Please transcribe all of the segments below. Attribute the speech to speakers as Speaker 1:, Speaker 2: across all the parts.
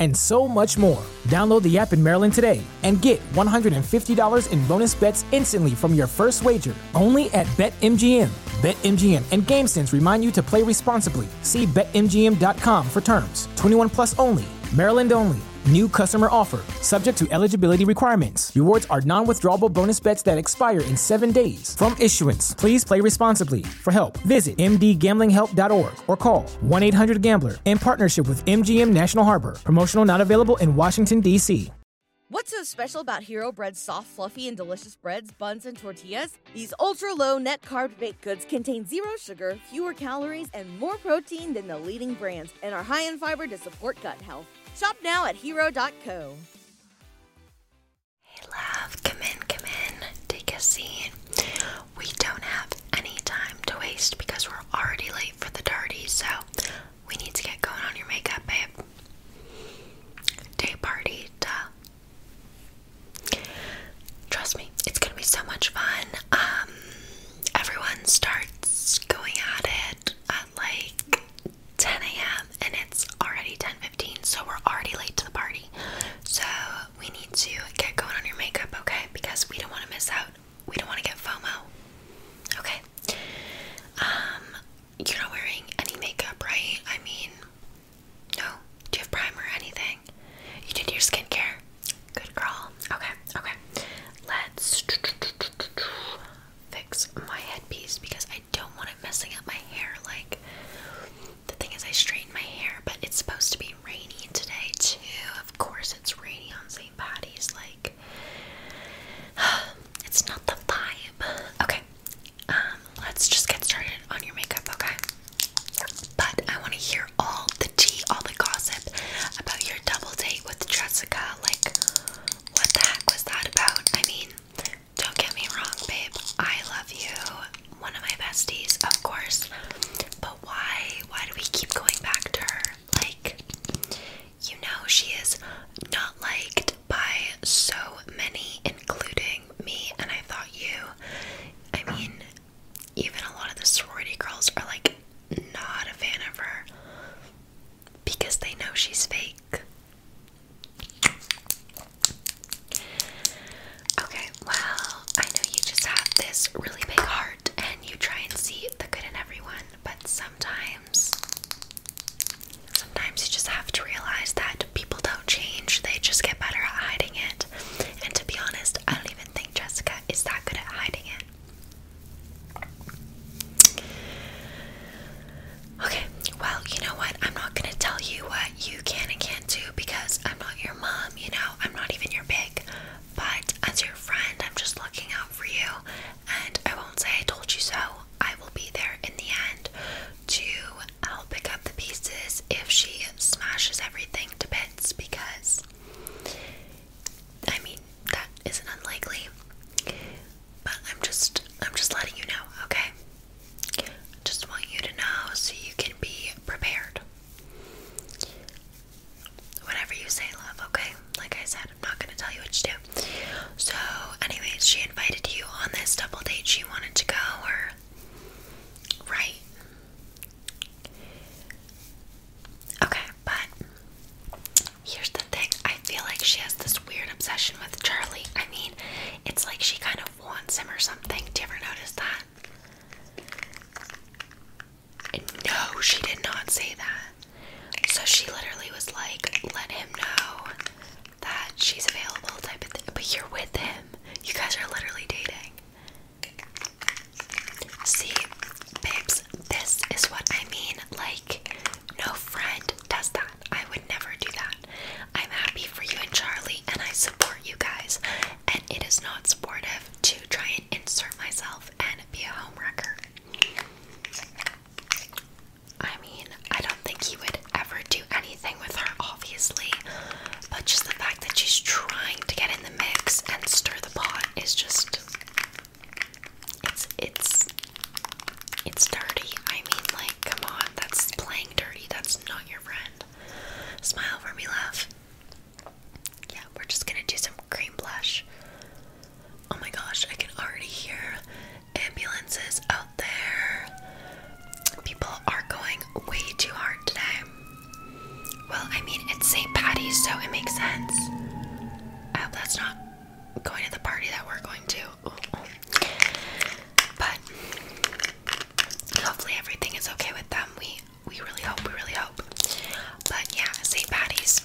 Speaker 1: and so much more. Download the app in Maryland today and get $150 in bonus bets instantly from your first wager only at BetMGM. BetMGM and GameSense remind you to play responsibly. See BetMGM.com for terms. 21 plus only. Maryland only. New customer offer, subject to eligibility requirements. Rewards are non withdrawable bonus bets that expire in seven days. From issuance, please play responsibly for help. Visit mdgamblinghelp.org or call 1 800 Gambler in partnership with MGM National Harbor. Promotional not available in Washington, D.C.
Speaker 2: What's so special about Hero Bread's soft, fluffy, and delicious breads, buns, and tortillas? These ultra low net carb baked goods contain zero sugar, fewer calories, and more protein than the
Speaker 1: leading brands, and are high in fiber to support gut health. Shop now at hero.co.
Speaker 2: Hey, love, come in, come in. Take a seat. We don't have any time to waste because we're already late for the party, so we need to get going on your makeup, babe. Day party, duh. Trust me, it's gonna be so much fun. Um, everyone starts going at it at like 10 a.m. and it's already 10:15, so we're already late to the party. So we need to get going on your makeup, okay? Because we don't want to miss out. We don't want to get FOMO. Okay. Um, you're not wearing any makeup, right? I mean, no. Do you have primer or anything? You did your skincare. Good girl. Okay, okay. Let's fix my headpiece because I don't want it messing up my hair. Like, the thing is, I straightened my hair, but it's supposed to be rainy today, too. Of course, it's rainy on St. Patty's. Like, it's not the vibe. Okay, um, let's just get started on your makeup, okay? But I want to hear all the tea, all the gossip about your double date with Jessica. Like, what the heck was that about? I mean, don't get me wrong, babe. I love you one of my besties, of course. But why? Why do we keep going back to her? Like, you know, she is not liked by so many, including me, and I thought you. I mean, even a lot of the sorority girls are like not a fan of her because they know she's fake. Okay, well, I know you just have this really big heart and you try and see the good in everyone, but sometimes, sometimes you just have to realize that people don't change, they just get better at hiding it. And to be honest, I don't even think Jessica is that good at hiding it. Okay, well, you know what? I'm not gonna tell you what you can and can't do because I'm not your mom, you know, I'm not even your big. But as your friend, I'm just looking out for you and I won't say I told you so. I will be there in the end to I'll pick up the pieces if she smashes everything to bits because I mean that isn't unlikely. But I'm just I'm just letting you know, okay? Just want you to know so you can be prepared. Whatever you say, love, okay? Like I said, I'm not gonna tell you what to do. So, anyways, she invited you on this double date. She wanted to go, or. Right. Okay, but here's the thing. I feel like she has this weird obsession with Charlie. I mean, it's like she kind of wants him or something. Do you ever notice that? No, she did not say that. So she literally was like, let him know that she's available, type of thing. But you're with him. You guys are literally dating. See, babes, this is what I mean. Like, no friend does that. I would never do that. I'm happy for you and Charlie, and I support you guys and it is not supportive to try and insert myself and be a homewrecker. I mean, I don't think he would ever do anything with her, obviously, but just the fact that she's trying to get in the mix and stir the pot is just it's it's it's dirty. I mean, like, come on, that's playing dirty. That's not your friend. Smile for me, love. Yeah, we're just gonna do some cream blush. Oh my gosh, I can already hear ambulances out there. People are going way too hard today. Well, I mean, it's St. Patty's, so it makes sense. I hope that's not going to the party that we're going to. But hopefully, everything is okay with them. We we really hope, we really hope. But yeah, St. Patty's.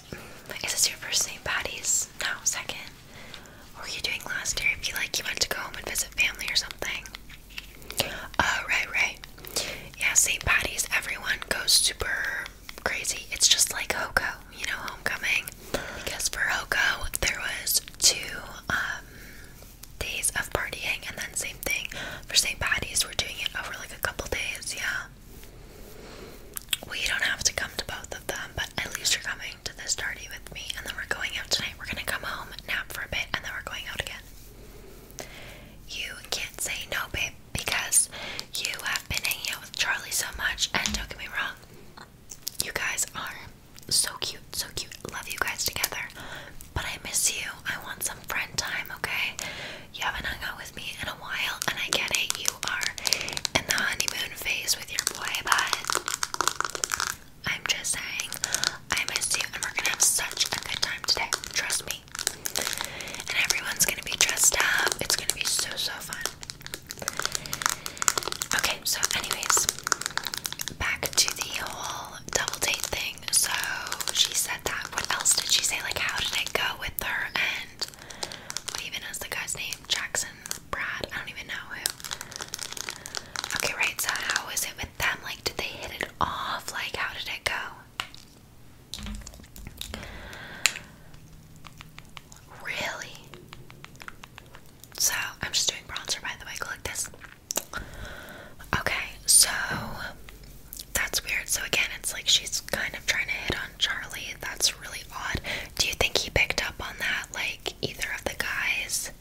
Speaker 2: Is this your first St. Patty's? No, second. What were you doing last year? If you like, you went to go home and visit family or something. Oh, right, right. Yeah, St. Patty's, everyone goes super crazy. It's just like Hoko, you know, homecoming. Because for Hoko, there was two um, days of partying, and then same thing for St. Patty's. We're doing it over like a couple days, yeah. We don't have to come to both of them, but at least you're coming to this party with me, and then we're going out tonight. We're gonna come home, nap for a bit, and then we're going out again. You can't say no, babe, because you have been hanging out with Charlie so much, and don't get me wrong, you guys are so cute, so cute. Love you guys together. But I miss you. I want some friend time, okay? You haven't hung out with me in a while, and I can't hate You are in the honeymoon phase with your boy, but I'm just saying, I miss you, and we're gonna have such a good time today. Trust me. And everyone's gonna be dressed up. It's gonna be so, so fun. Okay, so, anyways, back to the whole double date thing. So she said that. What else did she say? Like, how did it go with her? And what even is the guy's name? Jackson, Brad? I don't even know who. Okay, right. So, how was it with them? Like, did they hit it off? Like, how did it go? Really? So, I'm just doing bronzer, by the way. Go like this. Okay, so that's weird. So again, it's like she's kind of trying to hit on Charlie. That's really odd. Do you think he picked up on that? Like either of the guys?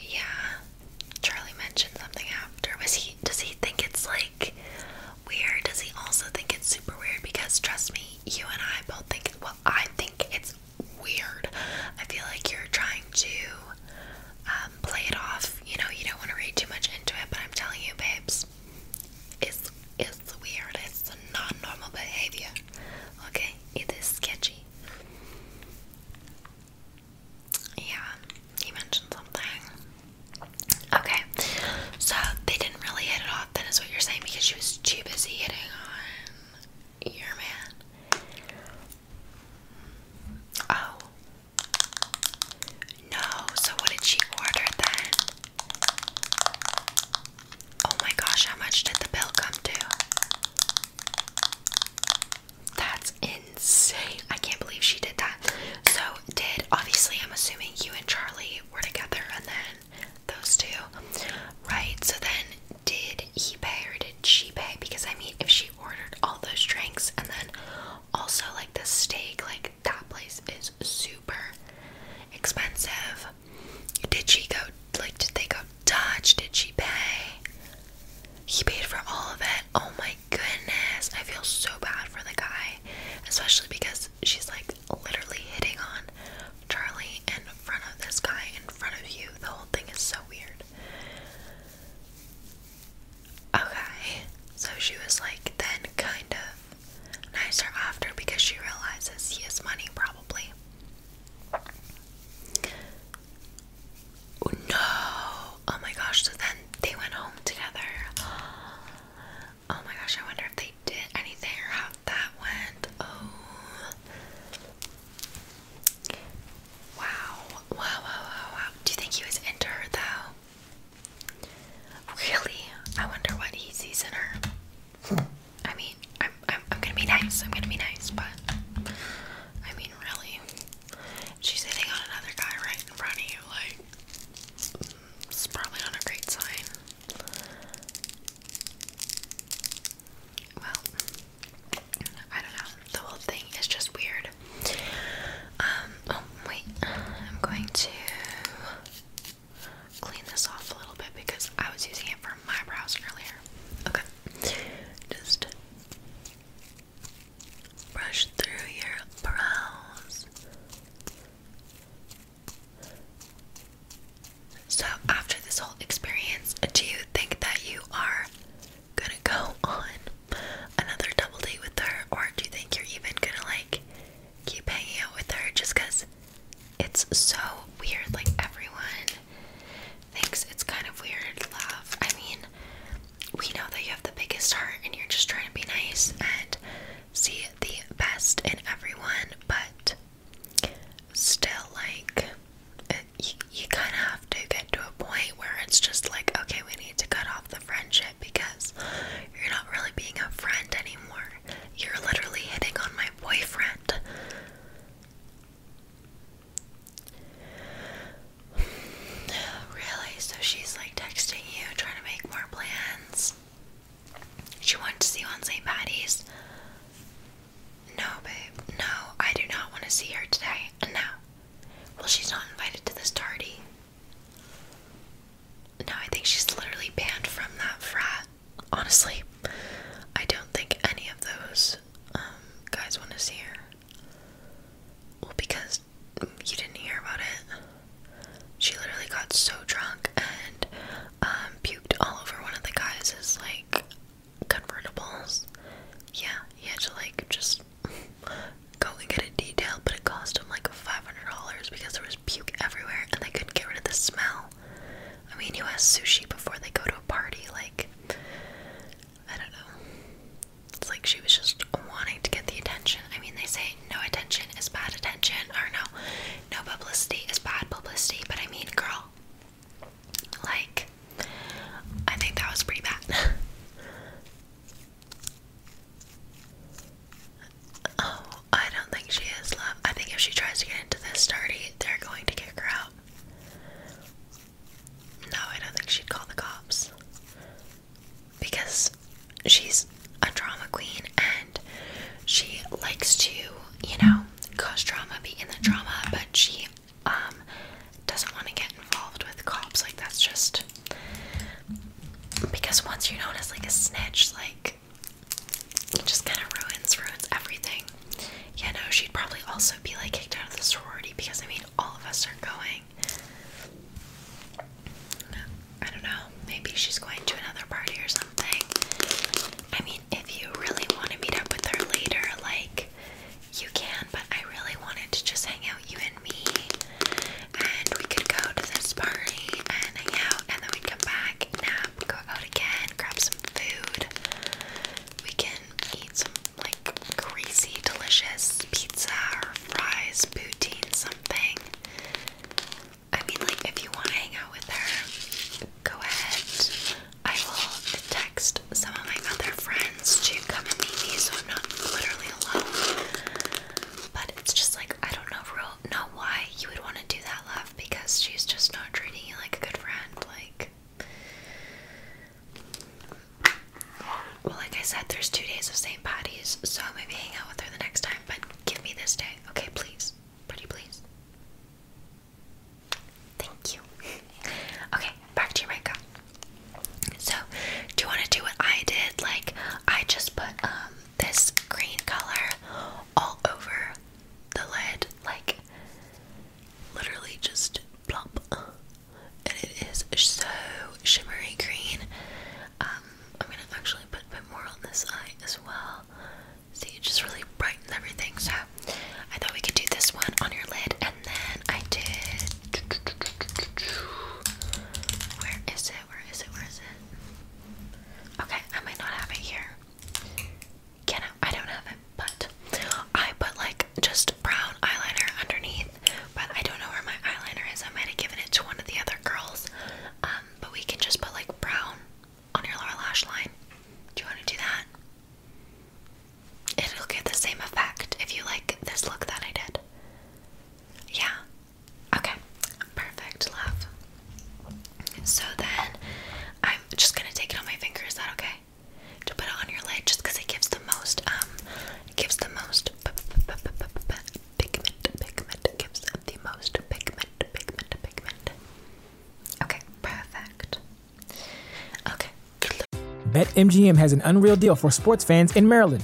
Speaker 2: Yeah. Charlie mentioned something after. Was he does he think it's like weird? Does he also think it's super weird? Because trust me, you and I both think well, I think it's weird. I feel like you're trying to um, play it off. You know, you don't want to read too much into it, but I'm telling you, babes, it's it's weird. It's not normal behavior. Okay, it is sketchy. Yeah, he mentioned something. Okay, so they didn't really hit it off. Then what you're saying because she was too busy hitting on your man. Oh, no, so what did she order then? Oh my gosh, how much did the bill come to? That's insane. I can't believe she did that. So, did obviously, I'm assuming you and Charlie were together, and then those two, right? So, then did he pay or did she pay? Because I mean, if she ordered all those drinks and then also, like the steak, like that place is super expensive. Did she go? Like, did they go Dutch? Did she pay? He paid for all of it. Oh my goodness. I feel so bad for the guy, especially because she's like literally hitting on Charlie in front of this guy in front of you. The whole thing is so weird. Okay, so she was like, then kind of nicer after because she realizes he has money, probably. Oh, no! Oh my gosh, so then they went home together. Oh my gosh, I wonder if they did anything or how that went. Oh. Wow. Wow, wow, wow, wow. Do you think he was into her though? Really? I wonder what he sees in her. I mean, I'm, I'm gonna be nice. I'm gonna be nice, but I mean, really, she's hitting on another guy right in front of you. Like, it's probably not a great sign. Well, I don't know. The whole thing is just weird. Um, oh, wait. I'm going to clean this off a little bit because I was using it for my brows earlier. Okay. Just brush through your brows. So, after this whole experience, do you think that you are gonna go on another double date with her, or do you think you're even gonna like keep hanging out with her just it's so weird? Like, everyone thinks it's kind of weird, love. I mean, we know that you have the biggest heart and you're just trying to be nice and see the best in everyone, but still, like, you, you kind of have to get to a point where it's just like, okay, we need to cut off the friendship because you're not really being a friend anymore. You're literally hitting on my boyfriend. Really? So she's like texting you, trying to make more plans. She wanted to see you on St. Patty's. No, babe. No, I do not want to see her today. No. Well, she's not invited to this party. Now I think she's literally banned from that frat. Honestly, I don't think any of those um, guys want to see her. Well, because you didn't hear about it. She literally got so drunk and um, puked all over one of the guys' like convertibles. Yeah, he had to like just go and get it detailed, but it cost them like $500 because there was puke everywhere and they couldn't get rid of the smell. I mean, you ask sushi before they go to a party? Like, I don't know. It's like she was just wanting to get the attention. I mean, they say no attention is bad attention, or no, no publicity is bad publicity, but I mean, girl, like, I think that was pretty bad. Oh, I don't think she is, love. I think if she tries to get into this dirty, they're going to kick her out. No, I don't think she'd call the cops. Because she's a drama queen and she likes to, you know, cause drama, be in the drama, but she um doesn't want to get involved with cops. Like that's just because once you notice like a snitch, like it just kind of ruins ruins everything. You know, she'd probably also be like kicked out of the sorority because I mean all of us are going. I don't know. Maybe she's going to another party or something. I mean, if you really want to meet up with her later, like you can, but I really wanted to just hang out you and and me, and we could go to this party and hang out, and then we'd come back, nap, go out again, grab some food. We can eat some like crazy, delicious pizza or fries, poutine, something. I mean, like, if you want to hang out with her, go ahead. I will text some of my other friends to come and meet me so I'm not literally alone. But it's just like I don't know real not why you would want to do that, love, because she's just not treating you like a good friend. Like Well, like I said, there's two days of same Patty's, so maybe hang out with her the next time, but give me this day. Okay, please. Pretty please. Thank you. Okay, back to you, makeup. So, do you want to do what I did? Like, I just put um, this green color all over the lid, like literally just plop, and it is so shimmery green. Um, I'm gonna actually put a bit more on this eye as well. See, it just really brightens everything. So, I thought we could do this one on your lid, and then I did where is it? Where is it? Where is it? Okay, I might not have it here. Can I? I don't have it, but I put like just brown eyeliner underneath, but I don't know where my eyeliner is. I might have given it to one of the other girls. Um, but we can just put like brown on your lower lash line. Do you want to do that? It'll get the same effect if you like this look that I did. Yeah, Okay, perfect, love. So then I'm just gonna take it on my finger, is that okay? To put it on your lid just it gives the most, um, gives the most pigment, pigment, gives the most pigment, pigment,
Speaker 1: pigment. Okay, perfect. Okay. BetMGM has an unreal deal for sports fans in Maryland.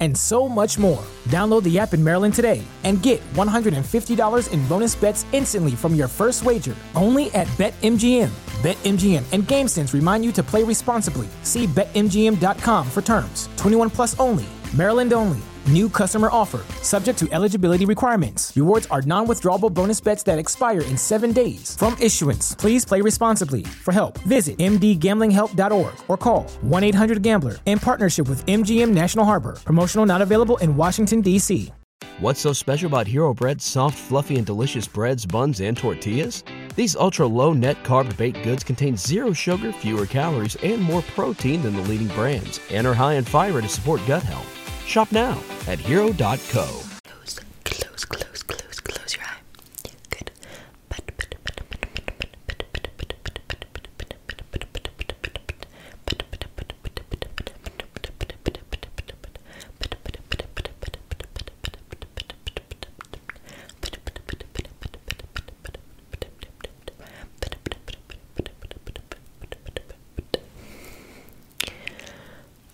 Speaker 1: and so much more. Download the app in Maryland today and get $150 in bonus bets instantly from your first wager only at BetMGM. BetMGM and GameSense remind you to play responsibly. See BetMGM.com for terms. 21 plus only. Maryland only. New customer offer, subject to eligibility requirements. Rewards are non withdrawable bonus bets that expire in seven days. From issuance, please play responsibly. For help, visit mdgamblinghelp.org or call 1 800 Gambler in partnership with MGM National Harbor. Promotional not available in Washington, D.C. What's so special about Hero Bread's soft, fluffy, and delicious breads, buns, and tortillas? These ultra low net carb baked goods contain zero sugar, fewer calories, and more protein than the leading brands, and are high in fiber to support gut health. Shop now at
Speaker 2: hero.co. Close, close, close, close, close your eye.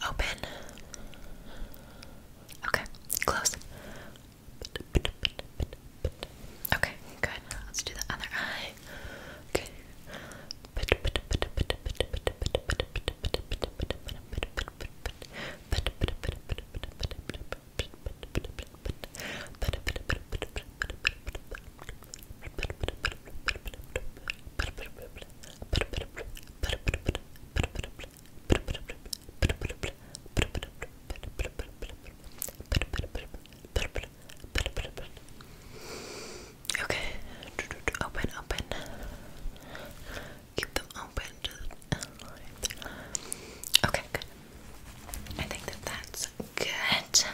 Speaker 2: Open. Okay, close. Okay, good. Let's do the other eye. Okay. Okay. Open, open. Keep them open. Okay, I think that that's good.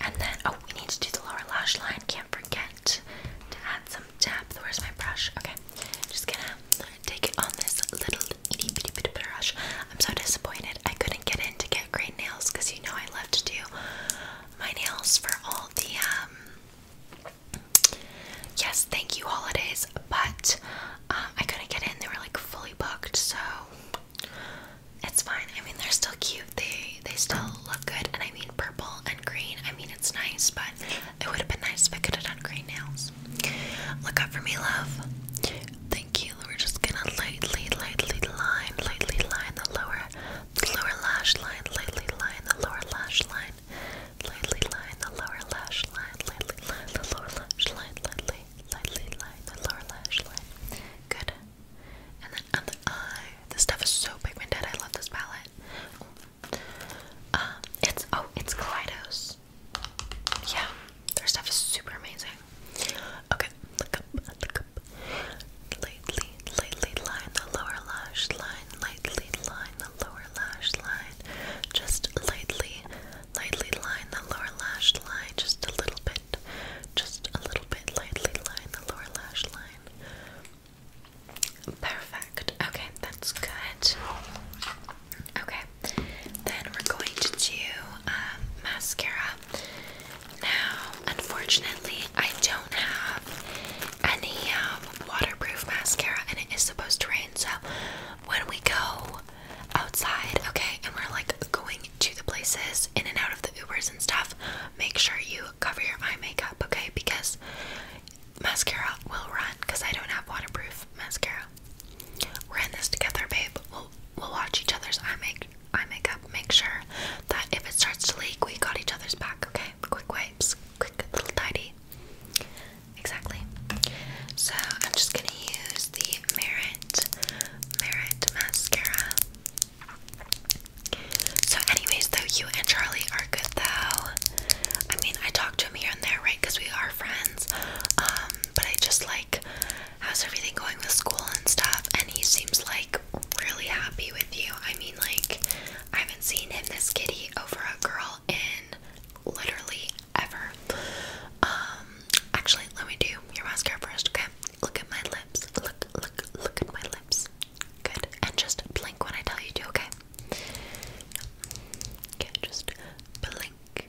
Speaker 2: And then, oh, we need to do the lower lash line. Can't forget to add some depth. Where's my brush? Okay, just gonna take it on this little itty bitty bitty brush. I'm so disappointed I couldn't definitely get in to get great nails because you know I love to do my nails for all the um yes thank you holidays but um, I couldn't get in they were like fully booked so it's fine I mean they're still cute they they still look good and I mean purple and green I mean it's nice but it would have been nice if I could have done great nails look up for me love Thank you. We're just gonna lightly, lightly line, lightly line the lower, the lower lash line, lightly line the lower lash line, lightly line the lower lash line, lightly line the lower lash line, lightly, lightly line the lower lash line. Good. And then on the eye, this stuff is so pigmented. I love this palette. Um, it's oh, it's Kaleidos. Yeah, their stuff is super amazing. Okay, look up, look up. Lightly, lightly line the lower lash line. Lightly line the lower lash line. Just lightly, lightly line the lower lash line. Just a little bit. Just a little bit. Lightly line the lower lash line. Perfect. Okay, that's good. Okay, then we're going to do uh, mascara. Now, unfortunately, I don't have any um, waterproof mascara, and it is supposed to rain. So, when we go outside, okay, and we're like going to the places in and out of the Ubers and stuff, make sure you cover your eye makeup, okay? Because mascara will run because I don't have waterproof mascara. We're in this together, babe. We'll we'll watch each other's eye make eye makeup, make sure that if it starts to leak, we got each other's back, okay? Quick wipes, quick little tidy. Exactly. So I'm just gonna use the Merit Merit mascara. So, anyways, though you and Charlie are good though. I mean, I talk to him here and there, right? Because we are friends. Um, but I just like how's everything going with school and stuff? And he seems like really happy with you. I mean, like, I haven't seen him this kitty over a girl in literally ever. Um, actually, let me do your mascara first, okay? Look at my lips. Look, look, look at my lips. Good. And just blink when I tell you to, okay? Okay, just blink,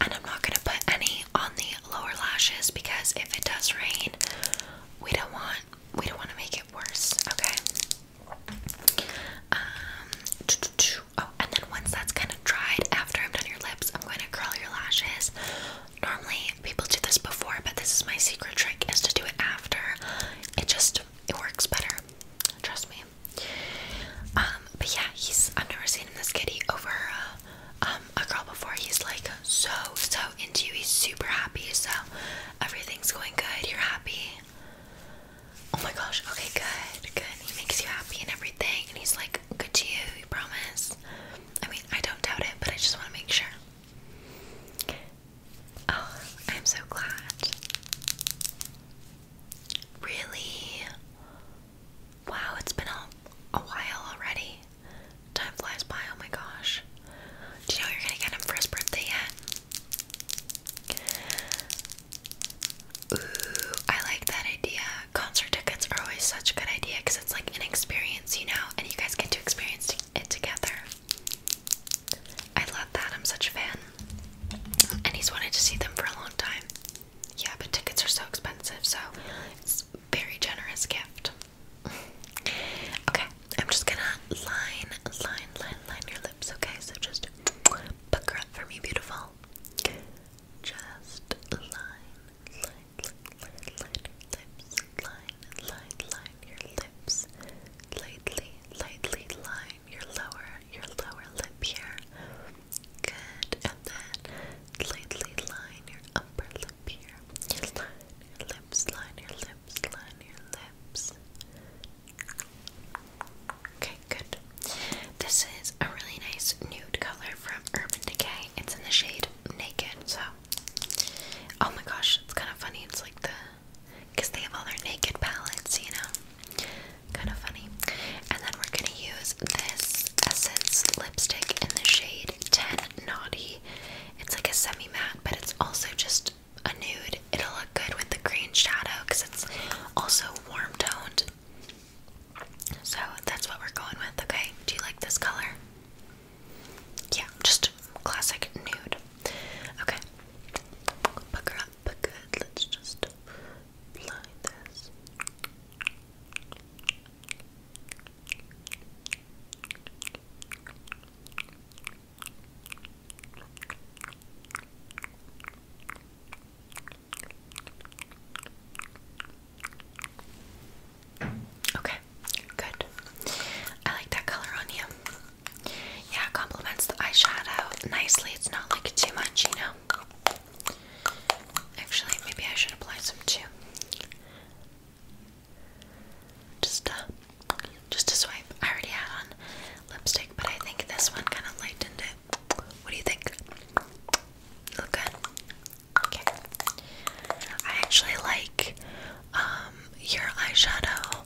Speaker 2: And I'm not going to put any on the lower lashes because if it does rain, we don't want we don't want to make it worse, okay? Um oh, and then once that's kind of dried after I'm done your lips, I'm going to curl your lashes. Normally people do this before, but this is my secret trick is to do it after. It just it works better. Trust me. Um, but yeah, he's I've never seen this giddy over uh, um, a girl before. He's like so, so into you. He's super happy. So everything's going good. You're happy. Oh my gosh. Okay, good. Good. He makes you happy and everything. And he's like good to you. You promise. I mean, I don't doubt it, but I just want to make sure. Oh, I'm so glad. Really? Wow, it's been a, a while already. Time flies by, oh my gosh. Do you know you're gonna get him for his birthday yet? Ooh, I like that idea. Concert tickets are always such a good idea because it's like an experience, you know, and you guys get to experience it together. I love that, I'm such a fan. And he's wanted to see them for a long time. Yeah, but tickets are so expensive, so it's very generous gift. okay, I'm just gonna line, line, line, line your lips, okay? So just pucker up for me, beautiful. Just line, line, line, line your lips. Lightly, lightly line your lower, your lower lip here. Good, and then lightly line your upper lip your lips, line your lips, line your lips. Okay, good. This is a really nice nude color from Urban Decay. It's in the shade Naked, so. Oh my gosh, it's kind of funny. It's like the. Because they have all their naked palettes, you know? Kind of funny. And then we're gonna use this Essence lipstick in the shade 10 Naughty. It's like a semi matte, but it's also just a nude. It'll look good with the green shadow because it's also warm toned. So that's what we're going with, okay? Do you like this color? Yeah, just classic nude. Okay. Buck her up, good. Let's just apply this. Okay, good. I like that color on you. Yeah, it complements the eyeshadow nicely. It's not like too much, you know. Actually, maybe I should apply some too. Just a, just a swipe. I already had on lipstick, but I think this one kind of lightened it. What do you think? Look good. Okay. I actually like um, your eyeshadow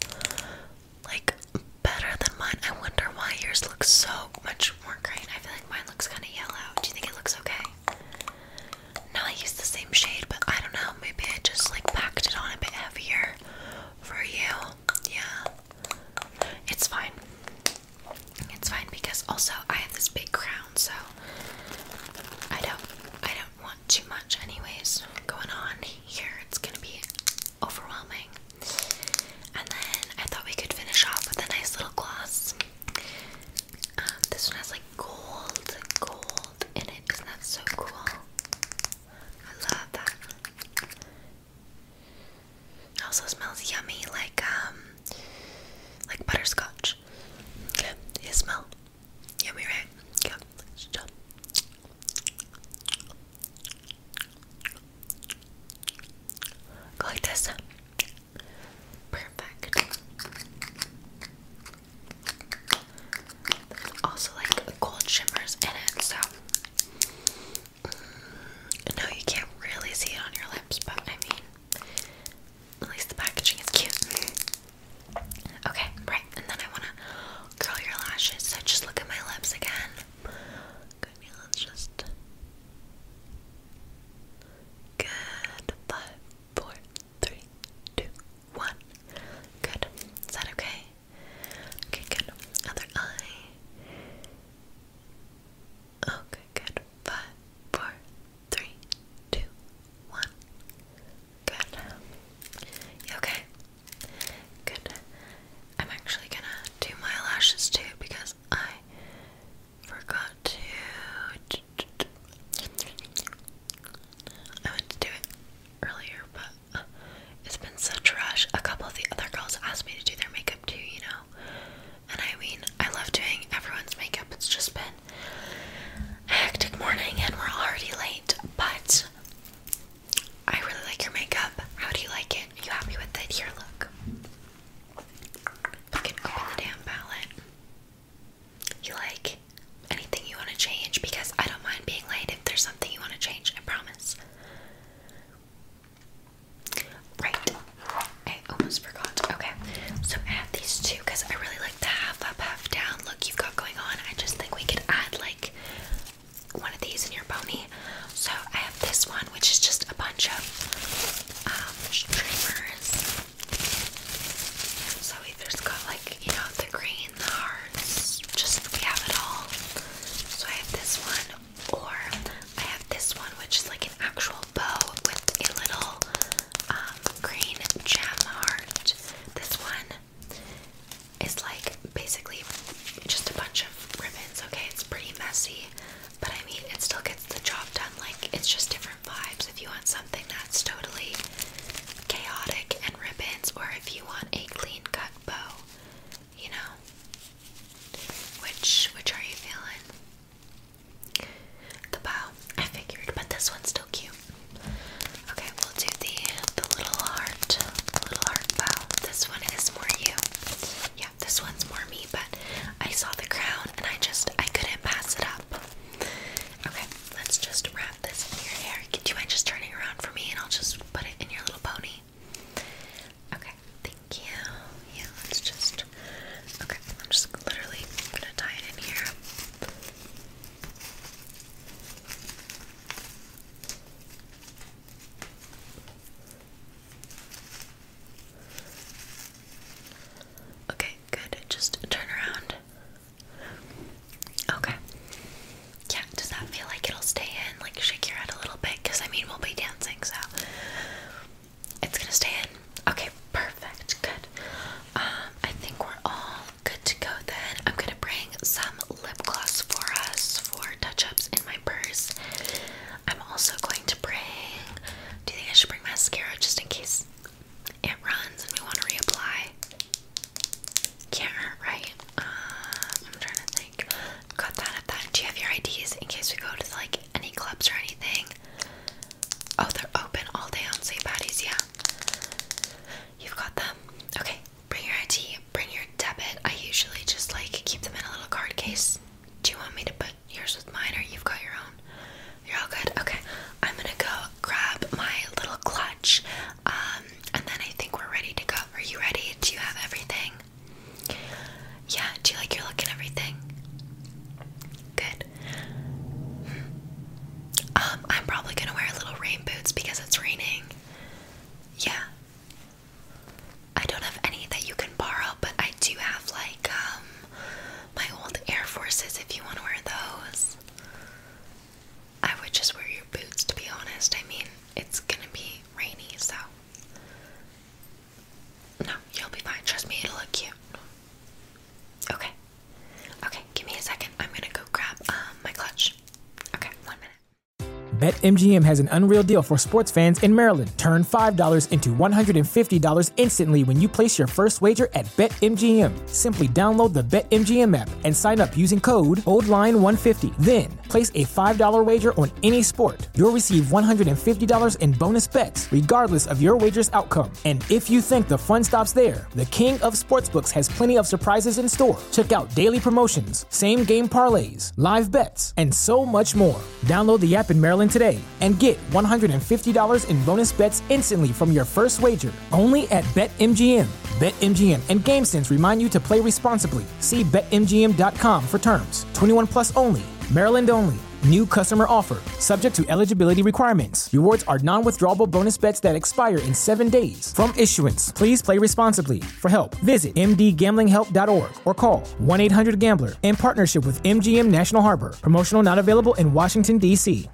Speaker 2: like better than mine. I wonder why yours looks so much more green. I feel like mine looks kind of yellow. Do you think it looks okay? Now I use the same shade, but I don't know. Maybe I just like packed it on a bit heavier for you. Yeah. It's fine. It's fine because also I have this big crown, so I don't I don't want too much anyways going on here. It's gonna be overwhelming. And then I thought we could finish off with a nice little gloss. Um, this one has like gold, gold in it, Isn't that's so cool? I love that. also smells yummy, like um, like butterscotch. Yeah, it smells yummy, right? Yeah. Stop. Go like this. Perfect. also like gold shimmers in it, so mm, no, you can't really see it on your lips, but I mean, at least the packaging is cute. Okay, right, and then I wanna curl your lashes, so just look at my lips again. Okay, let just. Good. Five, four, three, two, one. Good. Is that okay? Okay, good. Other eye. Okay, good. Five, four, three, two, one. Good. okay? Good. I'm actually gonna do my lashes too because I forgot to I went to do it earlier, but uh, it's been such a rush. A couple of the other girls asked me to do their makeup too, you know. And I mean, I love doing everyone's makeup. It's just been hectic morning and we're already late, but I really like your makeup. How do you like it? Are you happy with it? Here, look. I can open the damn palette you like, anything you want to change, because I don't mind being late if there's something you want to change, I promise. Right. I almost forgot. Okay. So I have these two because I really like the half up, half down look you've got going on. I just think we could add like one of these in your pony. So I have this one, which is just a bunch of um, streamers. So we just got like, you know, the green, the hearts, just we have it all. So I have this one, or I have this one, which is like an actual bow with a little um, green gem heart. This one is like basically just a bunch of ribbons, okay? It's pretty messy, but I mean, it still gets the job done like it's just different vibes. If you want something that's totally chaotic and ribbons, or if you want a clean cut bow, you know. Which which are you feeling? The bow, I figured, but this one's still cute. Okay, we'll do the the little heart, little heart bow. This one is more you. Yeah, this one's more me, but I saw the crown and I just I couldn't pass it up. Okay, let's just wrap this in your hair. Do you mind just turning around for me and I'll just put it in your little pony? Okay, thank you. Yeah, let's just. Okay, I'm just literally gonna tie it in here. Okay, good. Just turn around. Okay. Yeah, does that feel like it'll stay in? Like, shake your head a little bit? Because, I mean, we'll be dancing, so it's gonna stay in. Okay, perfect. Good. Um, I think we're all good to go then. I'm gonna bring some lip gloss for us for touch ups in my purse. I'm also going to bring. Do you think I should bring mascara just in case it runs and we want to reapply. Can't hurt, right? Um, I'm trying to think. Got that at that. Do you have your IDs in case we go to like any clubs or anything? Oh, they're open all day on St. Patty's, yeah. You've got them. Okay, bring your ID, bring your debit. I usually just like keep them in a little card case. Do you want me to put yours with mine or you've got your own? You're all good? Okay. I'm gonna go grab my little clutch. Um, and then I think we're ready to go. Are you ready? Do you have everything? Yeah, do you like your look and everything? Good. Um, I'm probably gonna wear little rain boots because it's raining. Yeah. I don't have any that you can borrow, but I do have like um, my old Air Forces if you want to wear those. I would just wear your boots to be honest. I mean, it's gonna be rainy, so. No, you'll be fine. Trust me, it'll look cute. Okay. Okay, give me a second. I'm
Speaker 1: gonna go grab um, my clutch. Okay, one minute. BetMGM has an unreal deal for sports fans in Maryland. Turn $5 into $150 instantly when you place your first wager at BetMGM. Simply download the BetMGM app and sign up using code Old Line 150 Then place a $5 wager on any sport. You'll receive $150 in bonus bets, regardless of your wager's outcome. And if you think the fun stops there, the King of Sportsbooks has plenty of surprises in store. Check out daily promotions, same game parlays, live bets, and so much more. Download the app in Maryland today and get $150 in bonus bets instantly from your first wager only at BetMGM. BetMGM and GameSense remind you to play responsibly. See BetMGM.com for terms. 21 plus only, Maryland only. New customer offer, subject to eligibility requirements. Rewards are non withdrawable bonus bets that expire in seven days. From issuance, please play responsibly. For help, visit mdgamblinghelp.org or call 1 800 Gambler in partnership with MGM National Harbor. Promotional not available in Washington, D.C.